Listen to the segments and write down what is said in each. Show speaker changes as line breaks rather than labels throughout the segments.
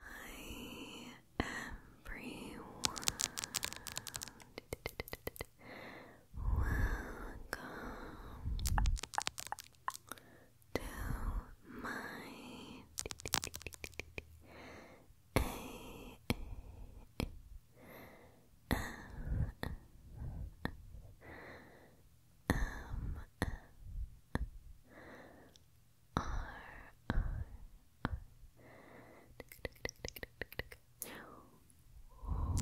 I everyone. Welcome to my A channel channel channel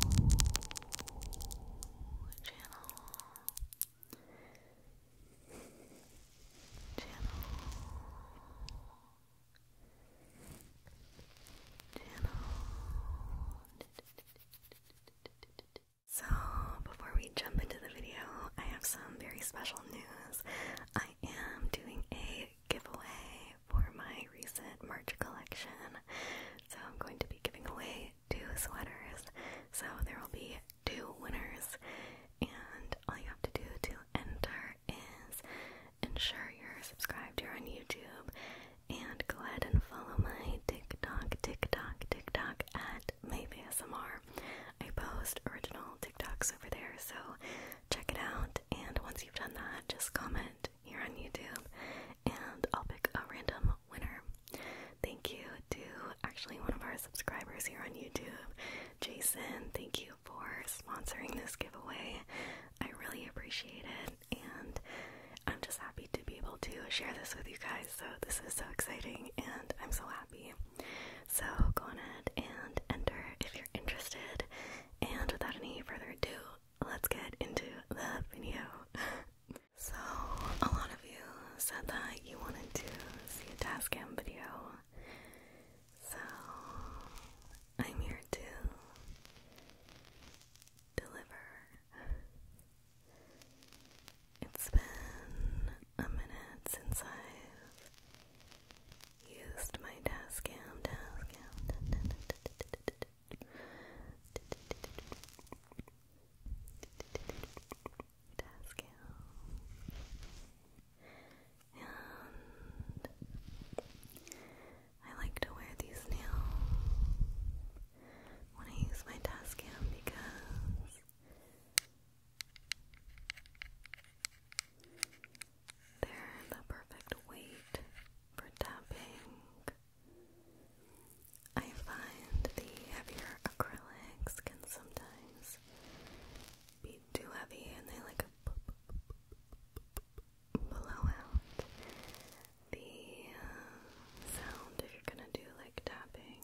so before we jump into the video, I have some very special news. I am doing a giveaway for my recent merch collection. So I'm going to be giving away two sweaters. So there will be two winners, and all you have to do to enter is ensure you're subscribed here on YouTube and go ahead and follow my TikTok, TikTok, TikTok at maybe SMR I post original TikToks over there, so check it out. And once you've done that, just comment here on YouTube and I'll pick a random winner. Thank you to actually one of our subscribers here on YouTube, Jason. Thank you for sponsoring this giveaway. I really appreciate it, and I'm just happy to be able to share this with you guys. So, this is so exciting, and I'm so happy. So go ahead and enter if you're interested. And without any further ado, let's get into the video. so, a lot of you said that you wanted to see a Tascam video. So, I'm here to deliver. It's been a minute since I've used my task cam, task cam. Task and I like to wear these nails when I use my task cam because they're the perfect weight for tapping. I find the heavier acrylics can sometimes be too heavy and they like blow out the uh, sound if you're gonna do like tapping.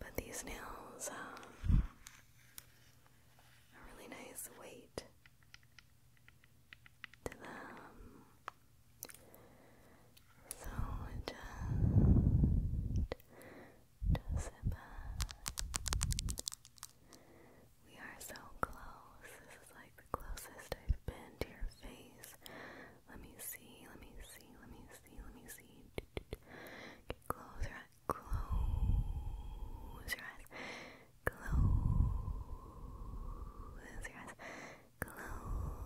But these nails have um, a really nice weight to them. So just does We are so close. This is like the closest I've been to your face. Let me see, let me see, let me see, let me see. close your eyes. Close your eyes. Close your eyes. Close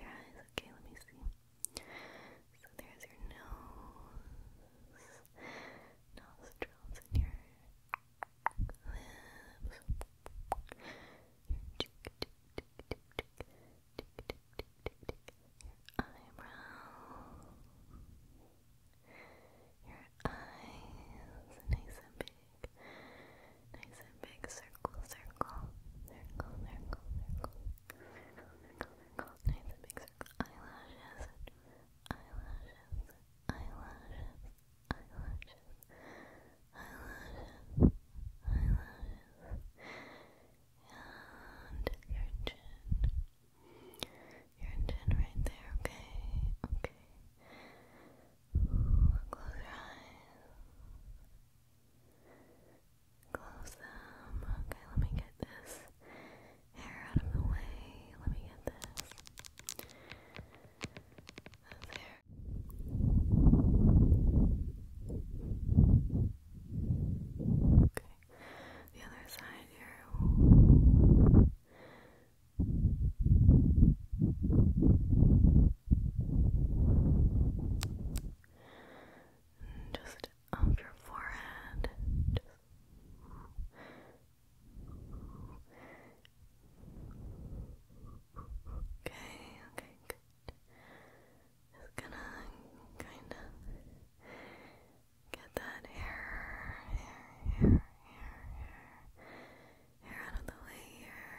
your eyes. Okay, let me see. So there's your nose, nostrils, and your lips, your eyebrows, your eyes, nice and big, nice and big, circle, circle, circle, circle, circle the big circle. Eyelashes, eyelashes, eyelashes, eyelashes, eyelashes, eyelashes, and your chin. Your chin right there, okay? Okay. Close your eyes. Close them. Okay, let me get this hair out of the way. Let me get this. That's Okay, the other side here. just of your forehead. Just Okay, okay, good. Just gonna kind of get that hair, hair, hair, hair, hair out of the way here.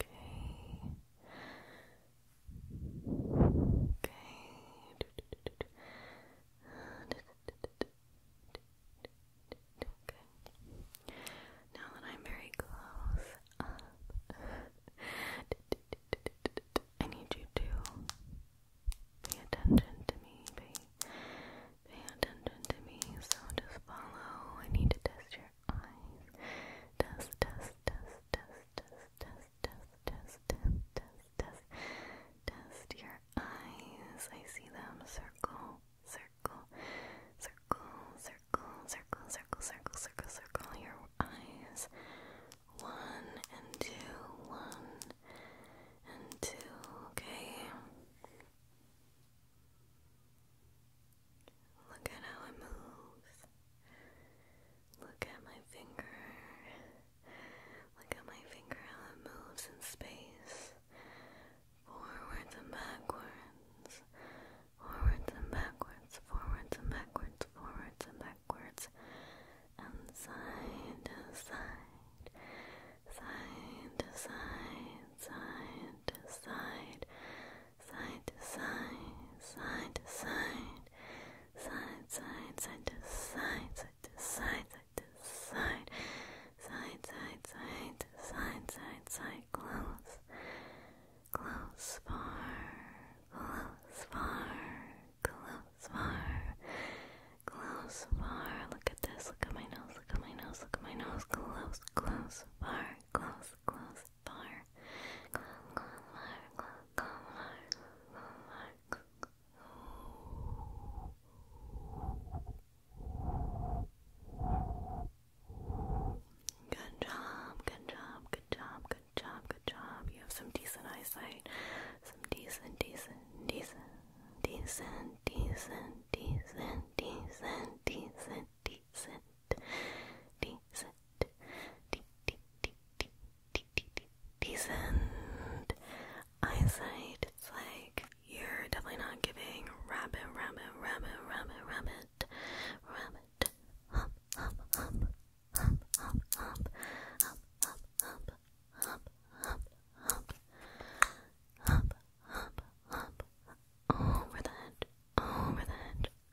Okay. Okay. Now that I'm very close I need you to pay attention to me. Pay, pay attention to me. So just follow. I need to test your eyes. test, test, test, test, test, test, test, test, test, test. Test your eyes. I see them. Circle, circle, circle, circle, circle, circle, circle, circle, circle your eyes. One and two, one and two. Okay. Look at how it moves. Look at my finger. Look at my finger how it moves in space. Forwards and backwards. Forwards and backwards. Forwards and backwards. Forwards and backwards. And side to side. Side to side. Side to side. Side to side. Side to side. Side to side side, side, side to side, side to side, side to side, side, side, side to side, side, side, close, close far, close far, close far, close far. Look at this. Look at my nose. Look at my nose. Look at my nose. Close, close far, close, close bar. Good job, good job, good job, good job, good job. You have some decent eyesight. Some decent, decent, decent, decent, decent, decent, decent, decent, decent, decent, decent, decent, decent, decent eyesight. It's like you're definitely not giving rabbit, rabbit, rabbit, rabbit, rabbit, rabbit, hop, hop, hop, hop, hop, hop, hop, hop, hop, hop, hop, hop, hop, hop, hop, over the head, over the head,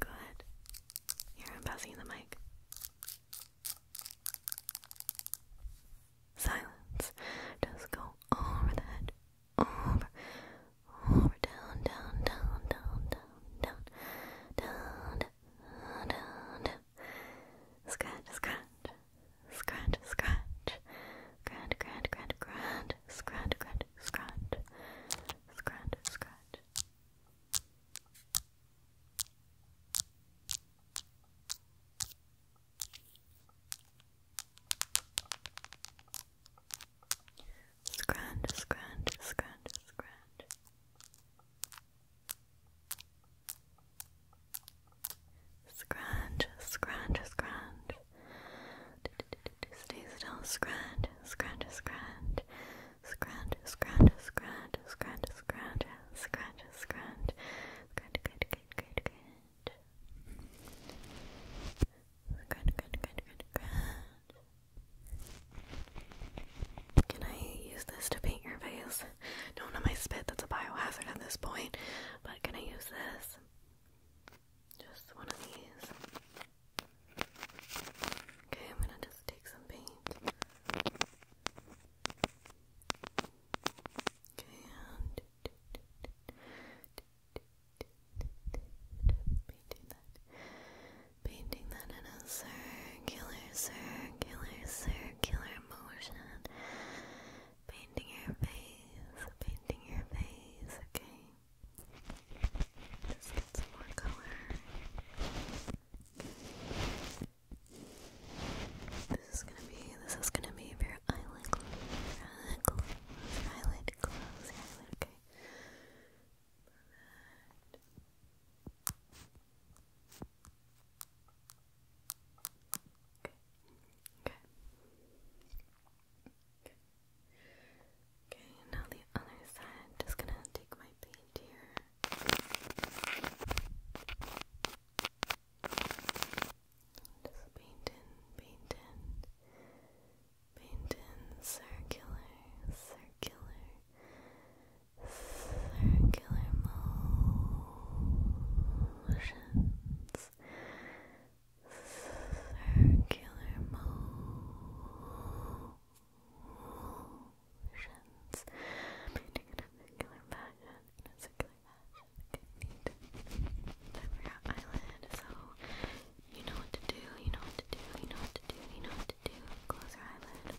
Good. Here, I'm passing the mic. Silence. Just go over the head. Over. Over. Down, down, down, down, down, down. Down, down, Scratch, scratch. Scratch, scratch. Scratch, scratch, scratch, scratch. Scratch, scratch, scratch. Scratch, scratch. Scrunch, scrunch, scrunch, scrunch. Scrunch, scrunch, scrunch. Stay still, scrunch, scrunch, scrunch. Scratch, scratch, scratch, scratch, scratch, scratch, scratch. Good, good, good, good, good. Good, good, good, good, good. Can I use this to paint your face? No, not my spit. That's a biohazard at this point. But can I use this? Just one of these. Okay, I'm gonna just take some paint. Okay, and painting that, painting that in a circular, circular, circular motion. Painting your face, painting your face. Okay, just get some more color. This is gonna be, this is gonna be your eyelid close, eyelid close, eyelid close, eyelid, Okay. Okay. Okay, now the other side. Just gonna take my paint here just paint in, paint in, paint in circular, circular, circular motions, circular motions motions. I'm a circular fashion. a circular fashion. Okay, neat. eyelid. So you know what to do, you know what to do, you know what to do, you know what to do. Close your eyelid.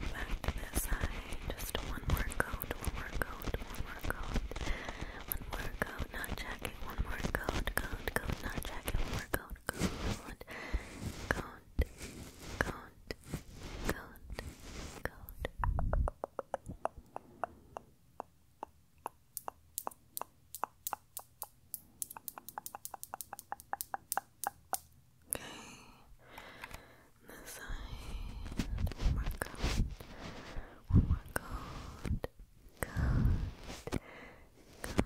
Back to this side. Just one more coat, one more coat, one more coat. One more coat, not jacket, one more coat, coat, coat, not jacket, one more coat count, count, count, count, count, Okay, One more count. One more Count. Count. Okay.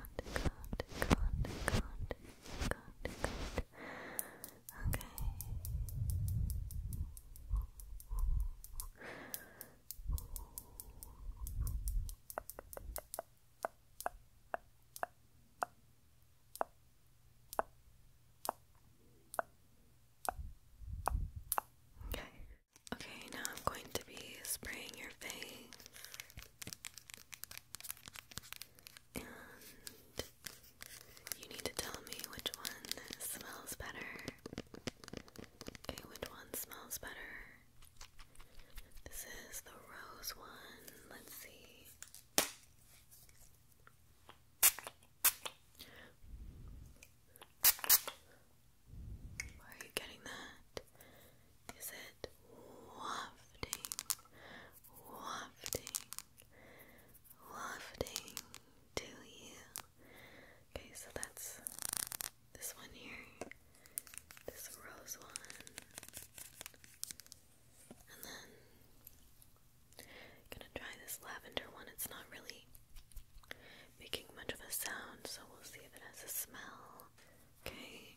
Okay. Okay, now I'm going to be spraying your face. And you need to tell me which one smells better. Okay, which one smells better? This is the rose one. Let's see. Where are you getting that? Is it wafting, wafting, wafting to you? Okay, so that's this one here, this rose one, and then I'm gonna try this lavender one. It's not really making much of a sound, so we'll see if it has a smell. Okay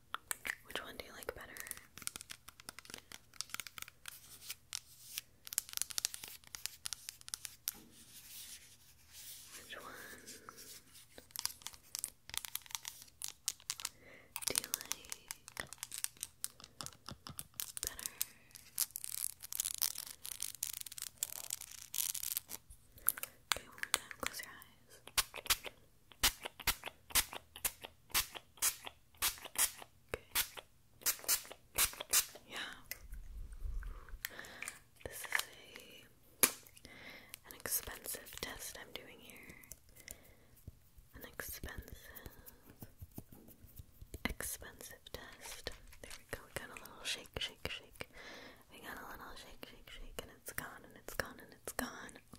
Which one do you like better? Which one do you like better? Okay, close your eyes. Yeah. This is an expensive test I'm doing here. An expensive expensive test. There we go. We got a little shake, shake, shake. We got a little shake, shake, shake, and it's gone and it's gone and it's gone.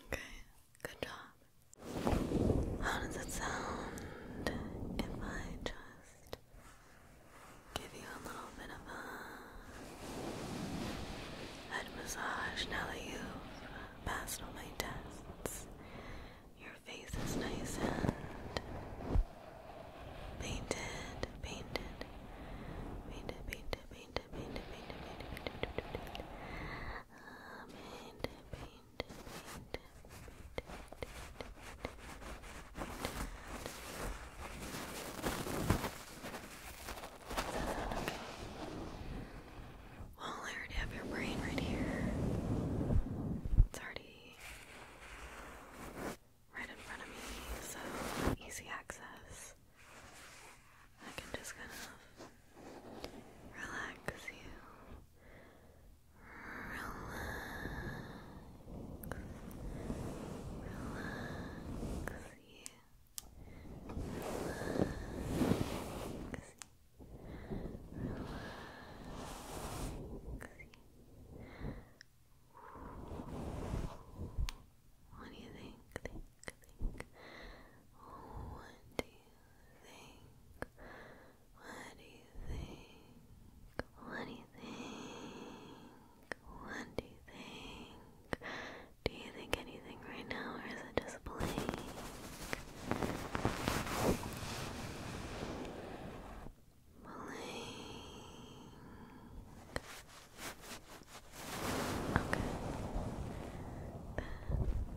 Okay, good job. How does it sound if I just give you a little bit of a head massage now that you've passed all my tests your face is nice and painted, painted, painted, painted, painted, painted, painted, painted, painted, painted, uh, painted, painted, painted, painted, painted. Does that sound okay? Well, I already have your brain right here. It's already right in front of me, so easy access. I can just kind of relax you. Relax. Relax you. What do you think? Think, think. What do you think? What do you think? What do you think? What do you think? Do you think anything right now, or is it just blank? Okay.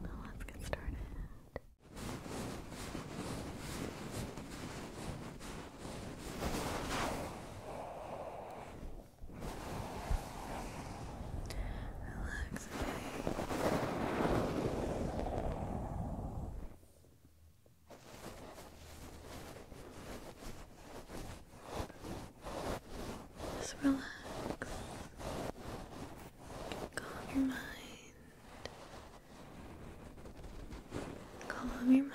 Then let's get started. Relax relax Just relax. Calm your mind. Calm your mind.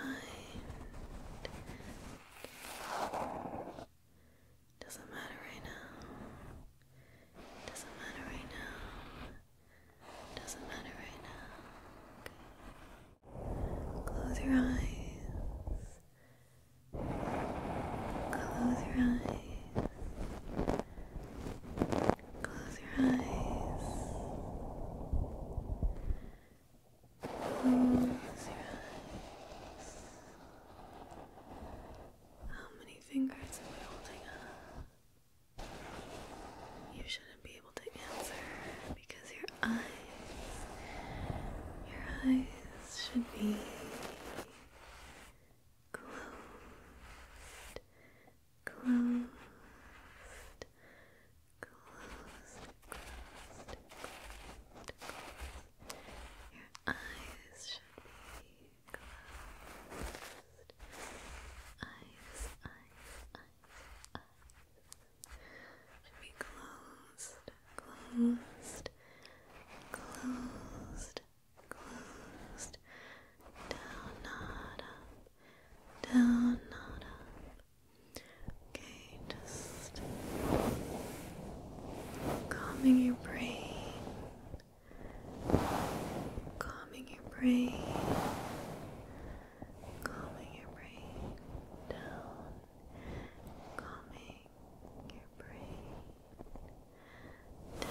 Doesn't matter right now. Doesn't matter right now. Doesn't matter right now. Close your eyes. Close your eyes. Close your eyes. Close your eyes. How many fingers am I holding up? You shouldn't be able to answer because your eyes, your eyes should be closed, closed, closed, closed, Your eyes should be closed. Eyes, eyes, eyes, eyes. Should be closed, closed, closed, closed. Down, not up. Down, not up. Okay, just calming your brain, calming your brain, calming your brain down, calming your brain down.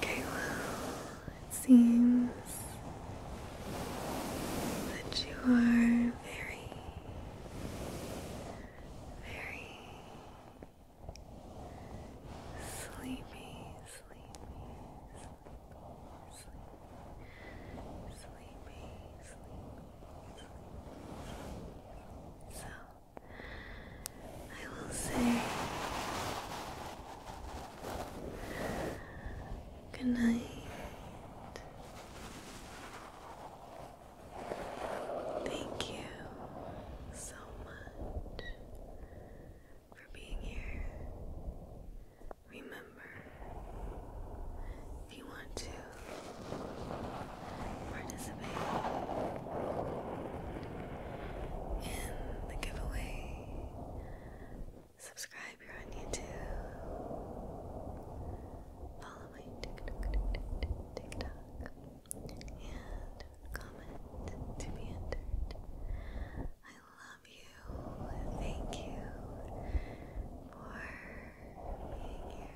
Okay, well, it seems that you are very, very Sleepy, sleepy, sleepy, sleepy, sleepy, sleepy, So, I will say good night. Thank you so much for being here. Remember, if you want to participate in the giveaway, subscribe here on YouTube, follow my TikTok, TikTok, TikTok and comment to be entered. I love you. Thank you for being here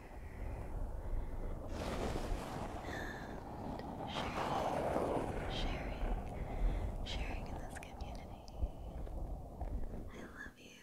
and sharing, sharing, sharing in this community. I love you.